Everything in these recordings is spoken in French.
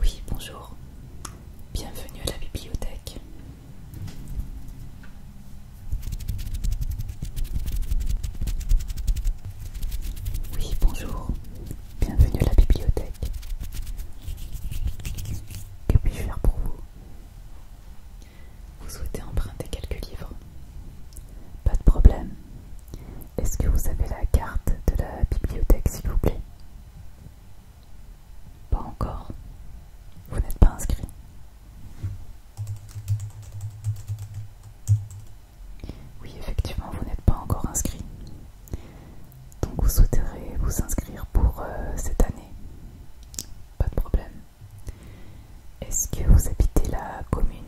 Oui, bonjour. Bienvenue à la bibliothèque. Oui, bonjour. Bienvenue à la bibliothèque. Que puis-je faire pour vous Vous souhaitez emprunter quelques livres Pas de problème. Est-ce que vous avez la carte de la bibliothèque, s'il vous plaît pas encore. Vous n'êtes pas inscrit. Oui, effectivement, vous n'êtes pas encore inscrit. Donc vous souhaiterez vous inscrire pour euh, cette année. Pas de problème. Est-ce que vous habitez la commune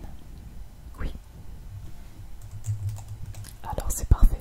Oui. Alors c'est parfait.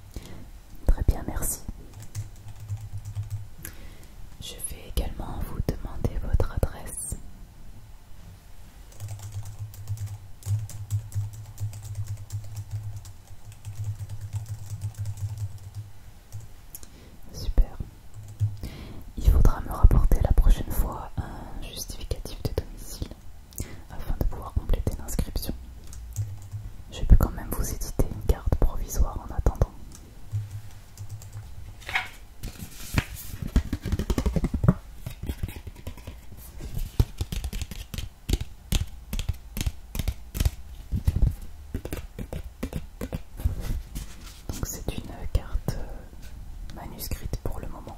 Très bien, merci. Je vais également vous demander votre adresse. Super. Il faudra me rapporter la prochaine fois un justificatif de domicile afin de pouvoir compléter l'inscription. Je peux quand même vous éditer une carte provisoire en attendant. Donc c'est une carte euh, manuscrite pour le moment.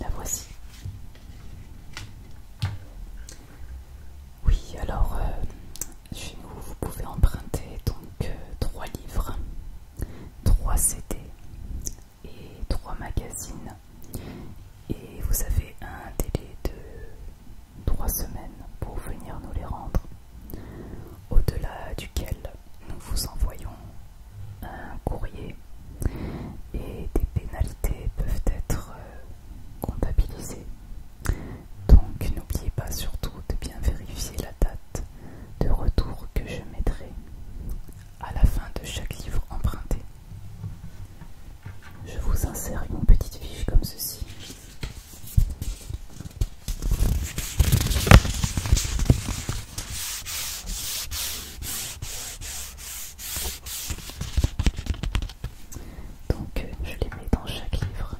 La voici. Oui, alors euh, chez nous, vous pouvez emprunter donc euh, trois livres, trois CD et trois magazines. Et vous avez un délai de trois semaines pour venir nous les rendre, au-delà duquel nous vous envoyons un courrier et des pénalités peuvent être euh, comptabilisées. Donc n'oubliez pas surtout de bien vérifier la date de retour que je mettrai à la fin de chaque livre emprunté. Je vous insère une petite fiche comme ceci donc euh, je les mets dans chaque livre.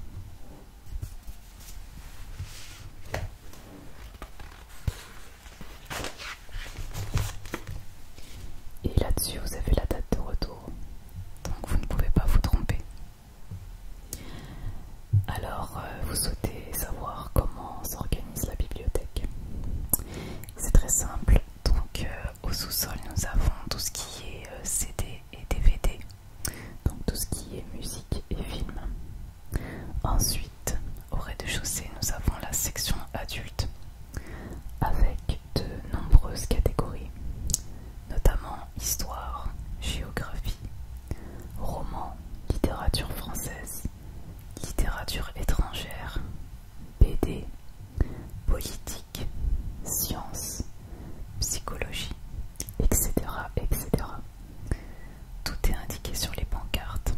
Et là-dessus, vous avez la date de retour donc vous ne pouvez pas vous tromper. Alors, euh, vous souhaitez savoir comment s'organise la bibliothèque C'est très simple. Donc, euh, au sous-sol, nous avons tout ce qui est euh, CD et DVD, donc tout ce qui est musique et film. Ensuite, au rez-de-chaussée, nous avons la section adulte avec de nombreuses catégories, notamment histoire, géographie, roman, littérature française, littérature étrangère, BD, politique, sciences, psychologie, etc. etc. Tout est indiqué sur les pancartes,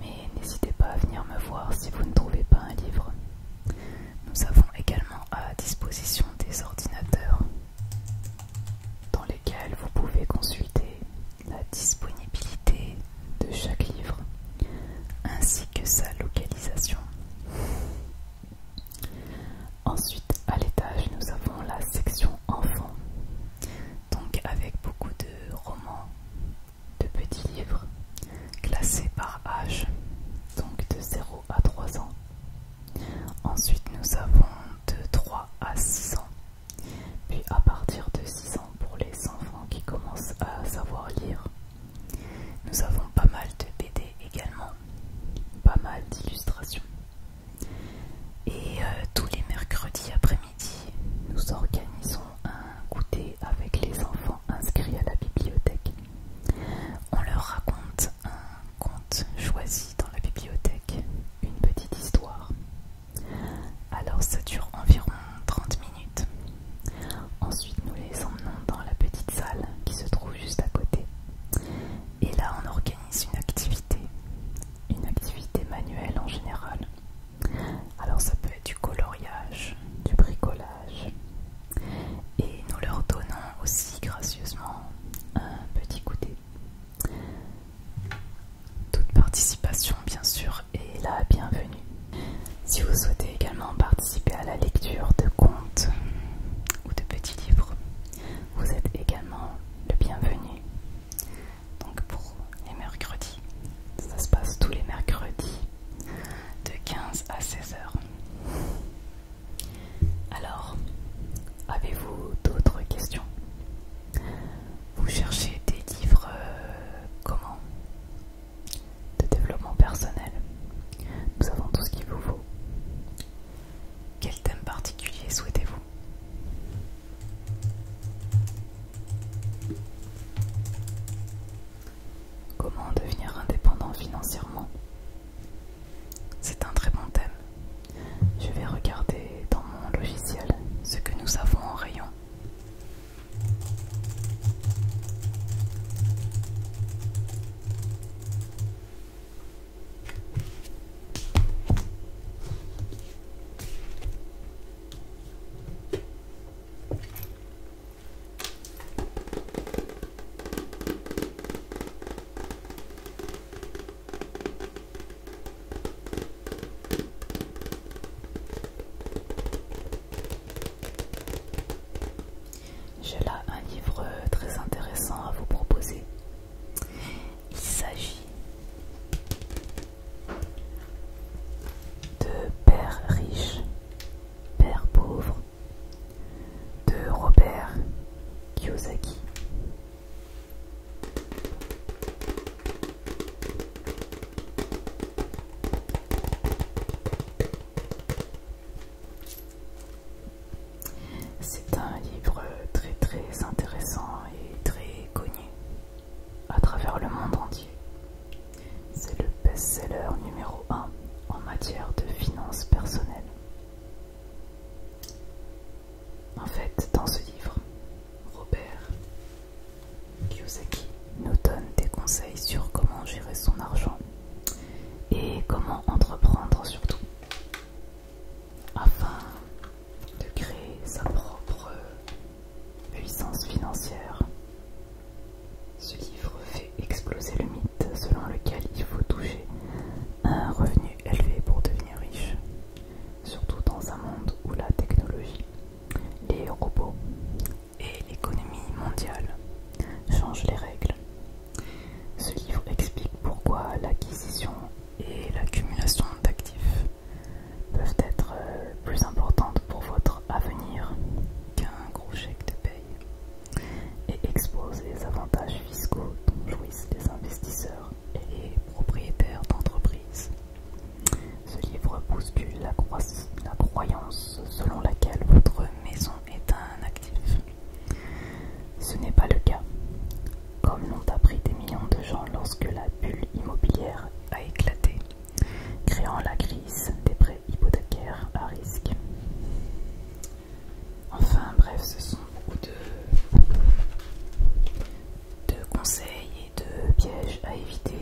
mais n'hésitez pas à venir me voir si vous ne trouvez pas un livre. Nous avons également à disposition des ordinateurs dans lesquels vous pouvez consulter la disponibilité de chaque livre ainsi que sa localisation. Ensuite, à l'étage, nous avons la section enfants, donc avec beaucoup de romans, de petits livres, classés par âge, donc de 0 à 3 ans. Ensuite, nous avons de 3 à 6 ans, puis à partir de 6 ans pour les enfants qui commencent à savoir lire. Nous avons pas mal de BD également, pas mal d'illustrations. Et euh, tous les mercredis après-midi, nous organisons un goûter avec les enfants inscrits à la bibliothèque. On leur raconte un conte choisi dans la bibliothèque, une petite histoire. Alors ça dure environ 30 minutes. Ensuite nous les emmenons dans la petite salle qui se trouve juste à côté. Et là on organise une activité, une activité manuelle en général. Alors ça peut être du coloriage, du bricolage, et nous leur donnons aussi gracieusement un petit goûter. Toute participation, bien sûr, est la bienvenue. Si vous souhaitez également participer à la lecture de contes ou de petits livres, vous êtes également le bienvenu. Donc pour les mercredis, ça se passe tous les mercredis de 15 à 16 heures. Alors, avez-vous d'autres questions Vous cherchez des livres euh, comment De développement personnel. Nous avons tout ce qu'il vous faut. Quel thème particulier souhaitez-vous Comment devenir indépendant financièrement C'est un très bon thème. Je vais regarder dans mon logiciel ce que nous avons en rayon. J'ai là un livre très intéressant à vous proposer. Il s'agit de Père riche, Père pauvre de Robert Kiyosaki. C'est un livre très très intéressant et très connu à travers le monde entier. C'est le best-seller numéro 1 en matière de finances personnelles. En fait, dans ce livre, Robert Kiyosaki nous donne des conseils sur comment gérer son argent et comment entreprendre surtout afin de créer sa propre puissance financière ce livre fait exploser le mythe selon lequel il faut toucher un revenu élevé pour devenir riche, surtout dans un monde où la technologie, les robots et l'économie mondiale changent les règles. Ce livre explique pourquoi l'acquisition et l'accumulation d'actifs peuvent être euh, plus importantes pour votre avenir qu'un gros chèque de paye et expose les avantages fiscaux dont jouissent les investisseurs et les propriétaires d'entreprises. Ce livre bouscule la, la croyance selon laquelle votre maison est un actif. Ce n'est pas le cas, comme l'ont appris des millions de gens lorsque la bulle immobilière a éclaté, créant la crise des prêts hypothécaire à risque. Enfin bref, ce sont beaucoup de, conseils et de pièges à éviter.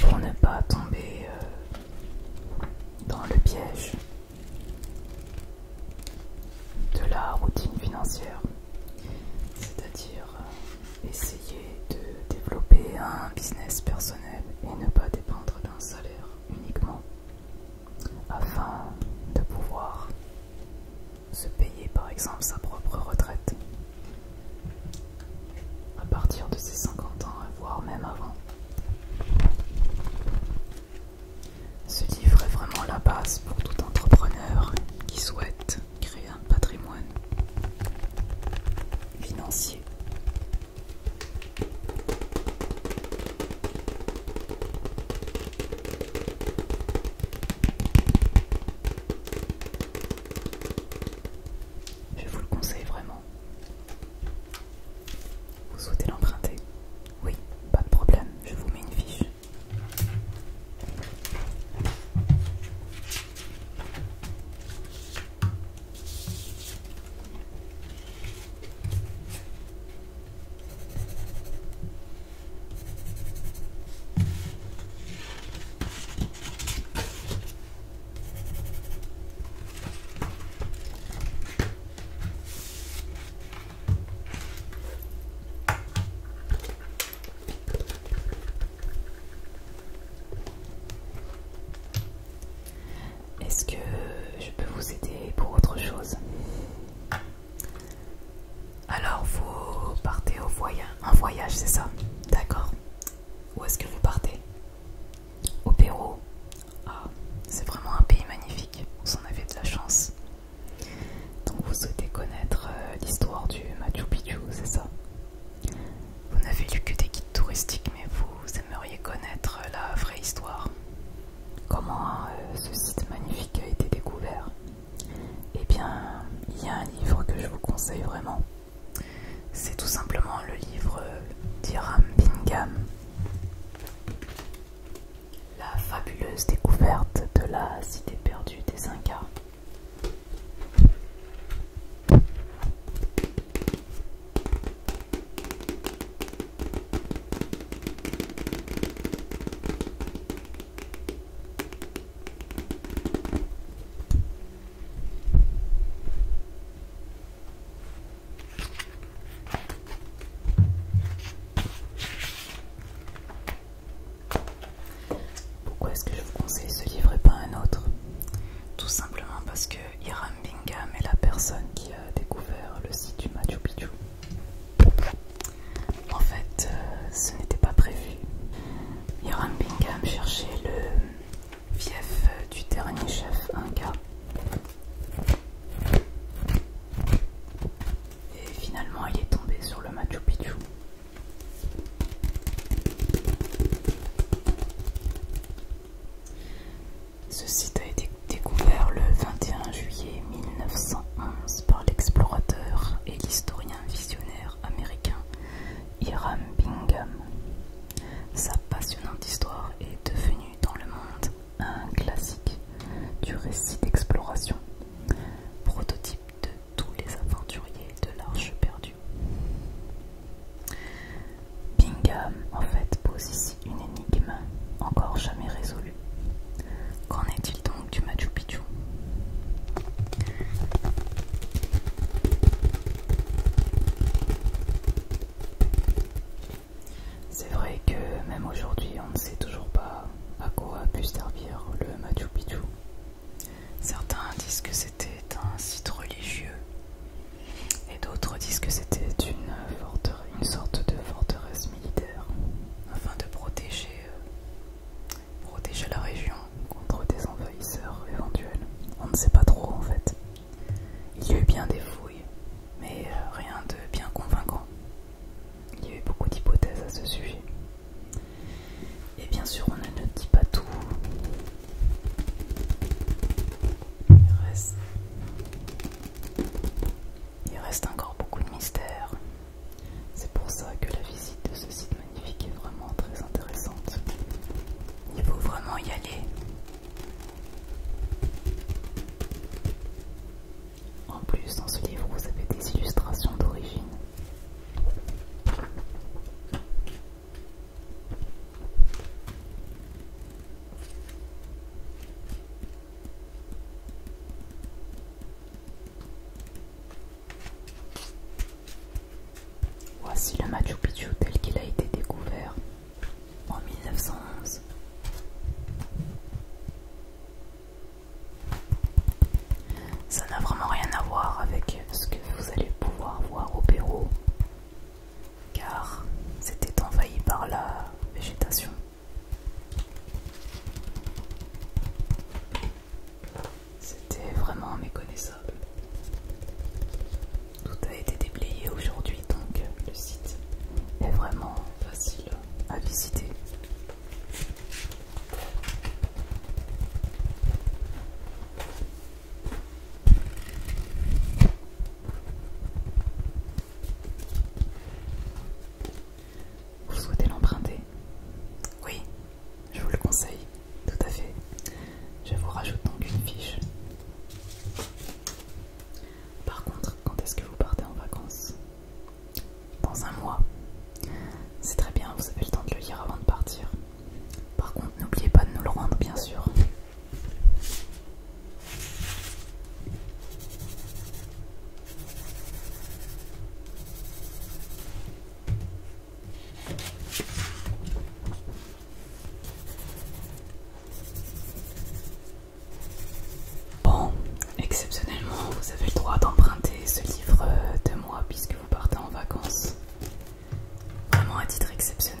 Pour ne pas tomber euh, dans le piège de la routine financière, c'est-à-dire euh, essayer de développer un business personnel et ne pas dépendre d'un salaire uniquement afin de pouvoir se payer par exemple sa propre retraite à partir de ses 50 ans, voire même avant. Ce livre est vraiment la base pour tout entrepreneur qui souhaite créer un patrimoine financier. Je vous le conseille vraiment. Vous souhaitez l'emprunter Oui, pas de problème, je vous mets une fiche. Est-ce que je peux vous aider pour autre chose Alors vous partez au voyage, un voyage c'est ça D'accord. Où est-ce que vous partez Au Pérou. Ah, c'est vraiment un pays magnifique. Vous en avez de la chance. Donc vous souhaitez connaître euh, l'histoire du Machu Picchu, c'est ça Vous n'avez lu que des guides touristiques, mais vous aimeriez connaître euh, la vraie histoire. Comment euh, ce site magnifique a été découvert Eh bien, il y a un livre que je vous conseille vraiment. C'est tout simplement le livre d'Iram Bingham. La fabuleuse découverte de la cité perdue des Incas. Pourquoi est-ce que je vous conseille ce livre et pas un autre Tout simplement parce que Hiram Bingham est la personne qui a découvert le site du Machu Picchu. En fait, euh, ce n'était pas prévu. Hiram Bingham cherchait le fief du dernier chef Inca. Et finalement, il est tombé sur le Machu Picchu. Ce site a été découvert le 21 juillet 1911 par l'explorateur et l'historien visionnaire américain Hiram Bingham. Sa passionnante histoire est devenue dans le monde un classique du récit d'exploration, prototype de tous les aventuriers de l'Arche perdue. Bingham, en fait, pose ici une énigme encore jamais résolue. Qu'en est-il donc du Machu Picchu c'est vrai que même aujourd'hui, on ne sait toujours pas à quoi a pu servir le Machu Picchu. Certains disent que c'était un site religieux et d'autres disent que c'était une, sorte de forteresse militaire afin de protéger, euh, protéger la région contre des envahisseurs éventuels. On ne sait pas trop en fait. Il y a eu bien des fouilles, mais euh, rien de bien convaincant. Il y a eu beaucoup d'hypothèses à ce sujet. Et bien sûr, on ne dit pas tout. Il reste, Il reste encore beaucoup de mystères. C'est pour ça que la visite de ce site magnifique est vraiment très intéressante. Il faut vraiment y aller. En plus, dans ce livre, vous avez des illustrations d'origine. Voici le Machu Picchu tel qu'il a été découvert en 1911. Ça n'a vraiment rien à voir avec ce que vous allez pouvoir voir au Pérou, car c'était envahi par la végétation. C'était vraiment méconnaissable. Tout a été déblayé aujourd'hui, donc le site est vraiment facile à visiter. Vous souhaitez l'emprunter Oui, je vous le conseille, tout à fait. Je vous rajoute donc une fiche. Par contre, quand est-ce que vous partez en vacances Dans un mois. C'est très bien, vous avez le temps de le lire avant de partir. Par contre, n'oubliez pas de nous le rendre, bien sûr. Bon, exceptionnellement, vous avez le droit d'emprunter ce livre euh, de moi puisque vous partez en vacances. Vraiment à titre exceptionnel.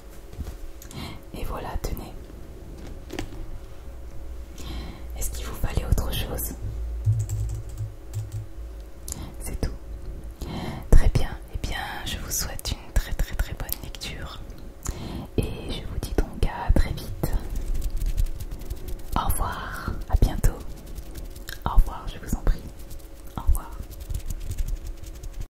Et voilà, tenez. Est-ce qu'il vous fallait autre chose C'est tout. Très bien. Eh bien, je vous souhaite une très très très bonne lecture. Et je vous dis donc à très vite. Au revoir. À bientôt. Au revoir, je vous en prie. Au revoir.